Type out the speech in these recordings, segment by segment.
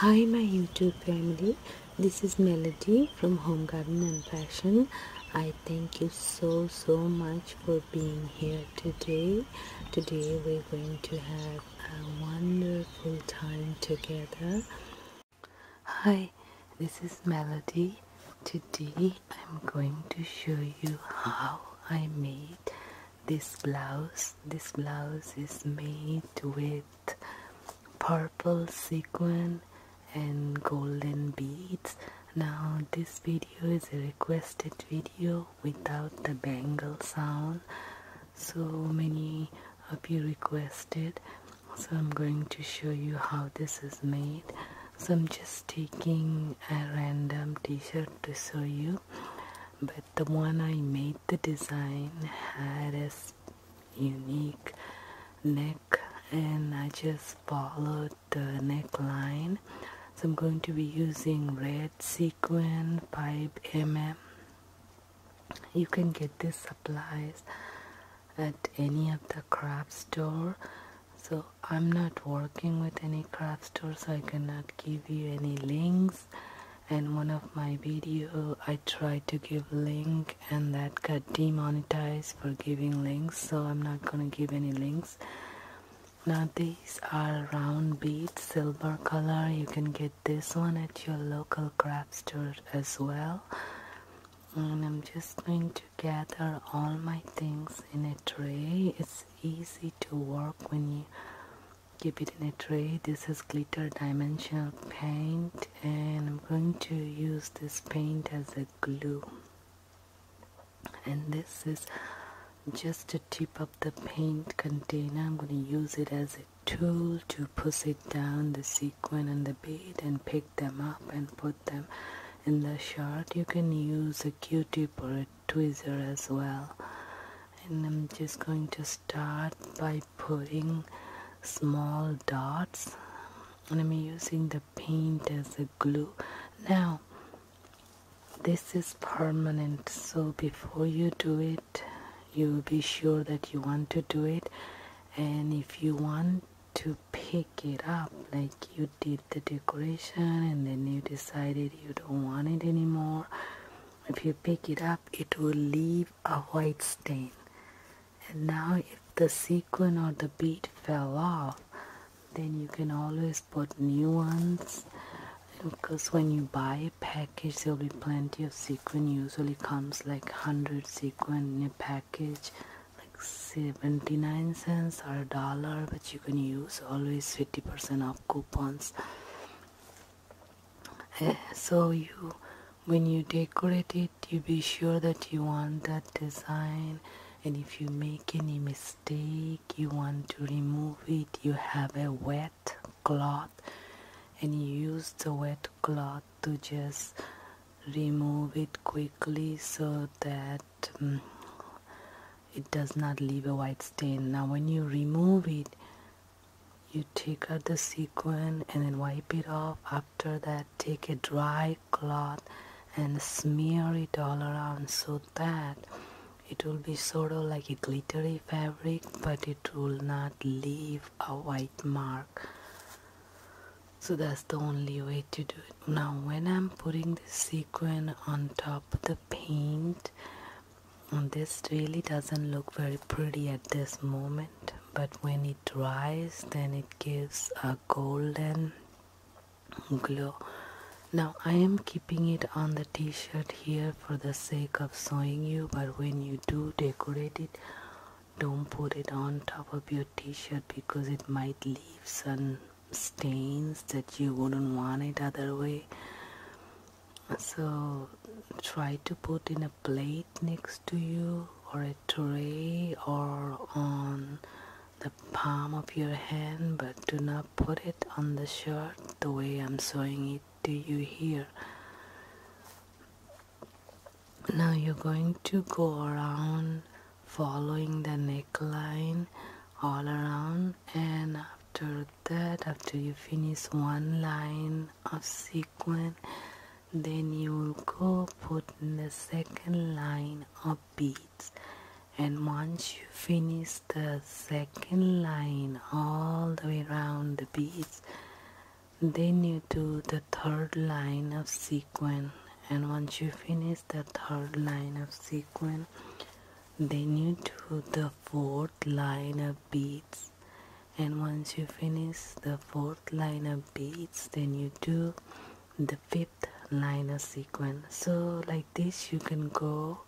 Hi my YouTube family, this is Melody from Home Garden and Fashion. I thank you so so much for being here today. Today we're going to have a wonderful time together. Hi, this is Melody. Today I'm going to show you how I made this blouse this blouse is made with purple sequin and golden beads now this video is a requested video without the bangle sound so many have you requested so i'm going to show you how this is made so i'm just taking a random t-shirt to show you but the one I made the design had a unique neck and I just followed the neckline so I'm going to be using red sequin 5 mm you can get these supplies at any of the craft store so I'm not working with any craft store so I cannot give you any links and one of my video I tried to give link and that got demonetized for giving links so I'm not gonna give any links now these are round beads silver color you can get this one at your local craft store as well and I'm just going to gather all my things in a tray it's easy to work when you keep it in a tray this is glitter dimensional paint and I'm going to use this paint as a glue and this is just a tip of the paint container I'm going to use it as a tool to push it down the sequin and the bead and pick them up and put them in the shard you can use a q-tip or a tweezer as well and I'm just going to start by putting small dots and I'm using the paint as a glue now this is permanent so before you do it you be sure that you want to do it and if you want to pick it up like you did the decoration and then you decided you don't want it anymore if you pick it up it will leave a white stain and now if the sequin or the bead fell off then you can always put new ones because when you buy a package there will be plenty of sequin usually comes like 100 sequin in a package 79 cents or a dollar but you can use always 50% off coupons eh, so you when you decorate it you be sure that you want that design and if you make any mistake you want to remove it you have a wet cloth and you use the wet cloth to just remove it quickly so that um, it does not leave a white stain now when you remove it you take out the sequin and then wipe it off after that take a dry cloth and smear it all around so that it will be sort of like a glittery fabric but it will not leave a white mark so that's the only way to do it now when i'm putting the sequin on top of the paint mm, this really doesn't look very pretty at this moment but when it dries then it gives a golden glow now i am keeping it on the t-shirt here for the sake of showing you but when you do decorate it don't put it on top of your t-shirt because it might leave some stains that you wouldn't want it other way so try to put in a plate next to you or a tray or on the palm of your hand but do not put it on the shirt the way I'm showing it to you here now you're going to go around following the neckline all around and after that after you finish one line of sequin then you will go put in the second line of beads and once you finish the second line all the way around the beads then you do the third line of sequin and once you finish the third line of sequin then you do the fourth line of beads and once you finish the fourth line of beads then you do the fifth line of sequin so like this you can go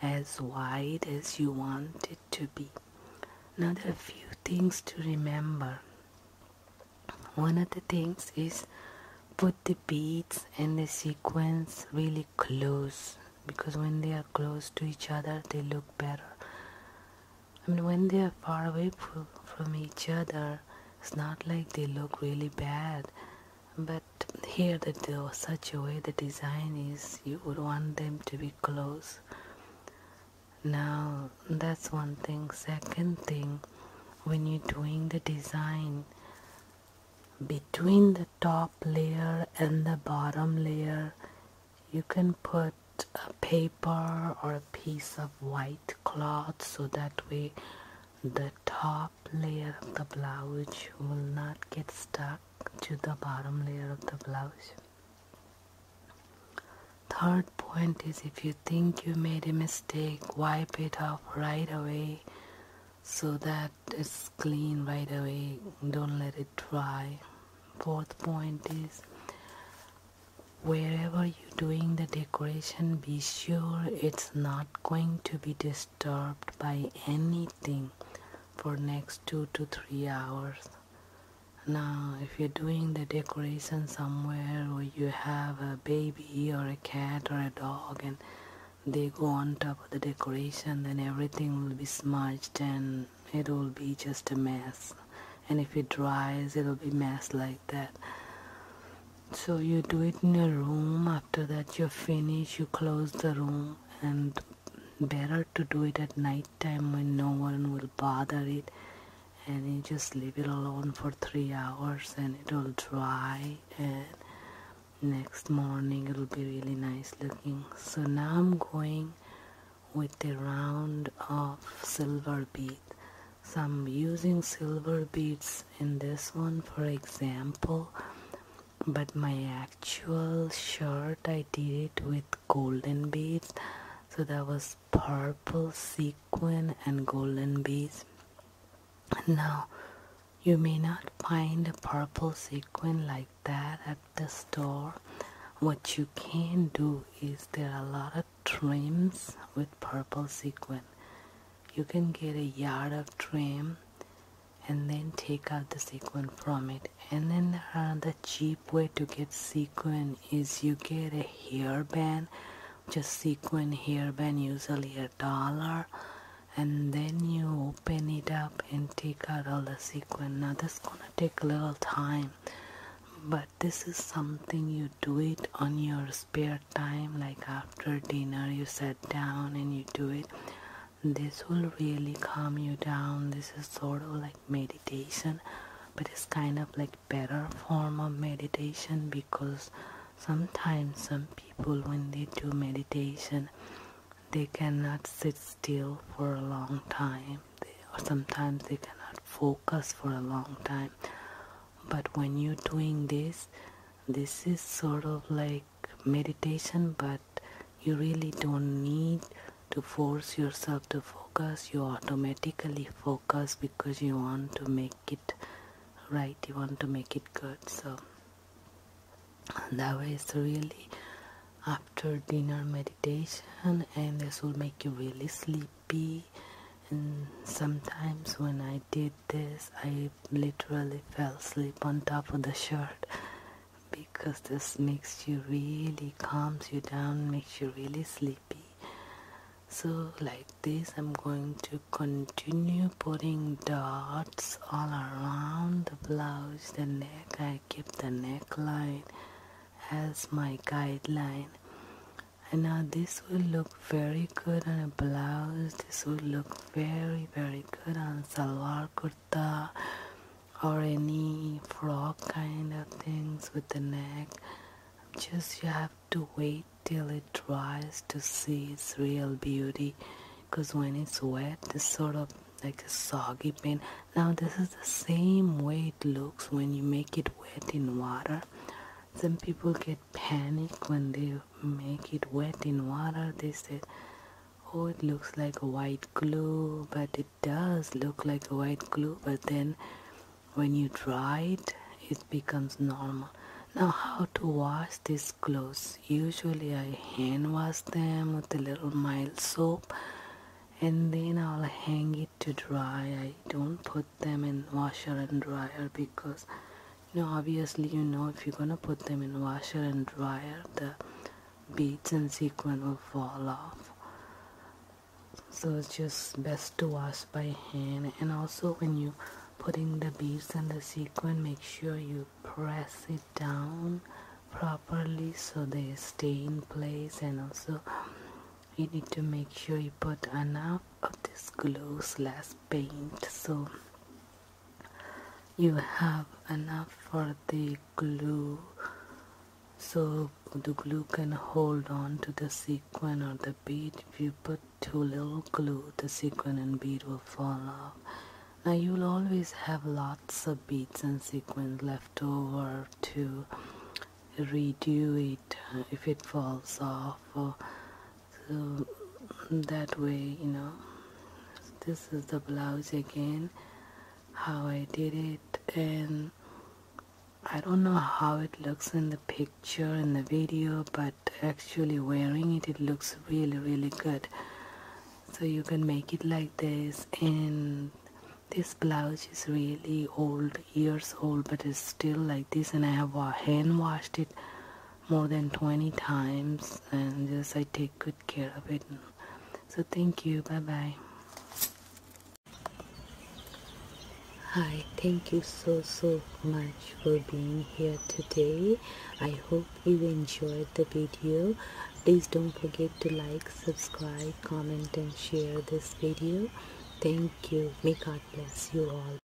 as wide as you want it to be now there are a few things to remember one of the things is put the beads and the sequins really close because when they are close to each other they look better I mean when they are far away from each other it's not like they look really bad but here that they such a way the design is you would want them to be close now that's one thing second thing when you're doing the design between the top layer and the bottom layer you can put a paper or a piece of white cloth so that way the top layer of the blouse will not get stuck to the bottom layer of the blouse Third point is if you think you made a mistake, wipe it off right away so that it's clean right away. Don't let it dry. Fourth point is wherever you're doing the decoration, be sure it's not going to be disturbed by anything for next two to three hours now, if you're doing the decoration somewhere or you have a baby or a cat or a dog and they go on top of the decoration, then everything will be smudged and it will be just a mess. And if it dries, it'll be mess like that. So you do it in a room. After that, you finish. you close the room and better to do it at night time when no one will bother it and you just leave it alone for three hours and it will dry and next morning it will be really nice looking so now I'm going with a round of silver bead so I'm using silver beads in this one for example but my actual shirt I did it with golden beads so that was purple sequin and golden beads now you may not find a purple sequin like that at the store what you can do is there are a lot of trims with purple sequin you can get a yard of trim and then take out the sequin from it and then uh, the cheap way to get sequin is you get a hairband just sequin hairband usually a dollar and then you open it up and take out all the sequin now that's gonna take a little time but this is something you do it on your spare time like after dinner you sit down and you do it this will really calm you down this is sort of like meditation but it's kind of like better form of meditation because sometimes some people when they do meditation they cannot sit still for a long time or sometimes they cannot focus for a long time but when you're doing this this is sort of like meditation, but you really don't need to force yourself to focus. You automatically focus because you want to make it right, you want to make it good. So, that way is really after dinner meditation, and this will make you really sleepy. And sometimes when I did this, I literally fell asleep on top of the shirt because this makes you really calms you down makes you really sleepy so like this I'm going to continue putting dots all around the blouse the neck I keep the neckline as my guideline and now this will look very good on a blouse this will look very very good on salwar kurta kurta or any frog kind of things with the neck just you have to wait till it dries to see its real beauty because when it's wet it's sort of like a soggy paint now this is the same way it looks when you make it wet in water some people get panic when they make it wet in water they said oh it looks like white glue but it does look like white glue but then when you dry it it becomes normal now how to wash these clothes usually i hand wash them with a little mild soap and then i'll hang it to dry i don't put them in washer and dryer because you know obviously you know if you're gonna put them in washer and dryer the beads and sequin will fall off so it's just best to wash by hand and also when you putting the beads and the sequin make sure you press it down properly so they stay in place and also you need to make sure you put enough of this glue last paint so you have enough for the glue so the glue can hold on to the sequin or the bead if you put too little glue the sequin and bead will fall off now you'll always have lots of beads and sequins left over to redo it uh, if it falls off so that way you know this is the blouse again how I did it and I don't know how it looks in the picture in the video but actually wearing it it looks really really good so you can make it like this and this blouse is really old years old but it's still like this and I have hand washed it more than 20 times and yes, I take good care of it so thank you bye bye hi thank you so so much for being here today I hope you enjoyed the video please don't forget to like subscribe comment and share this video thank you may God bless you all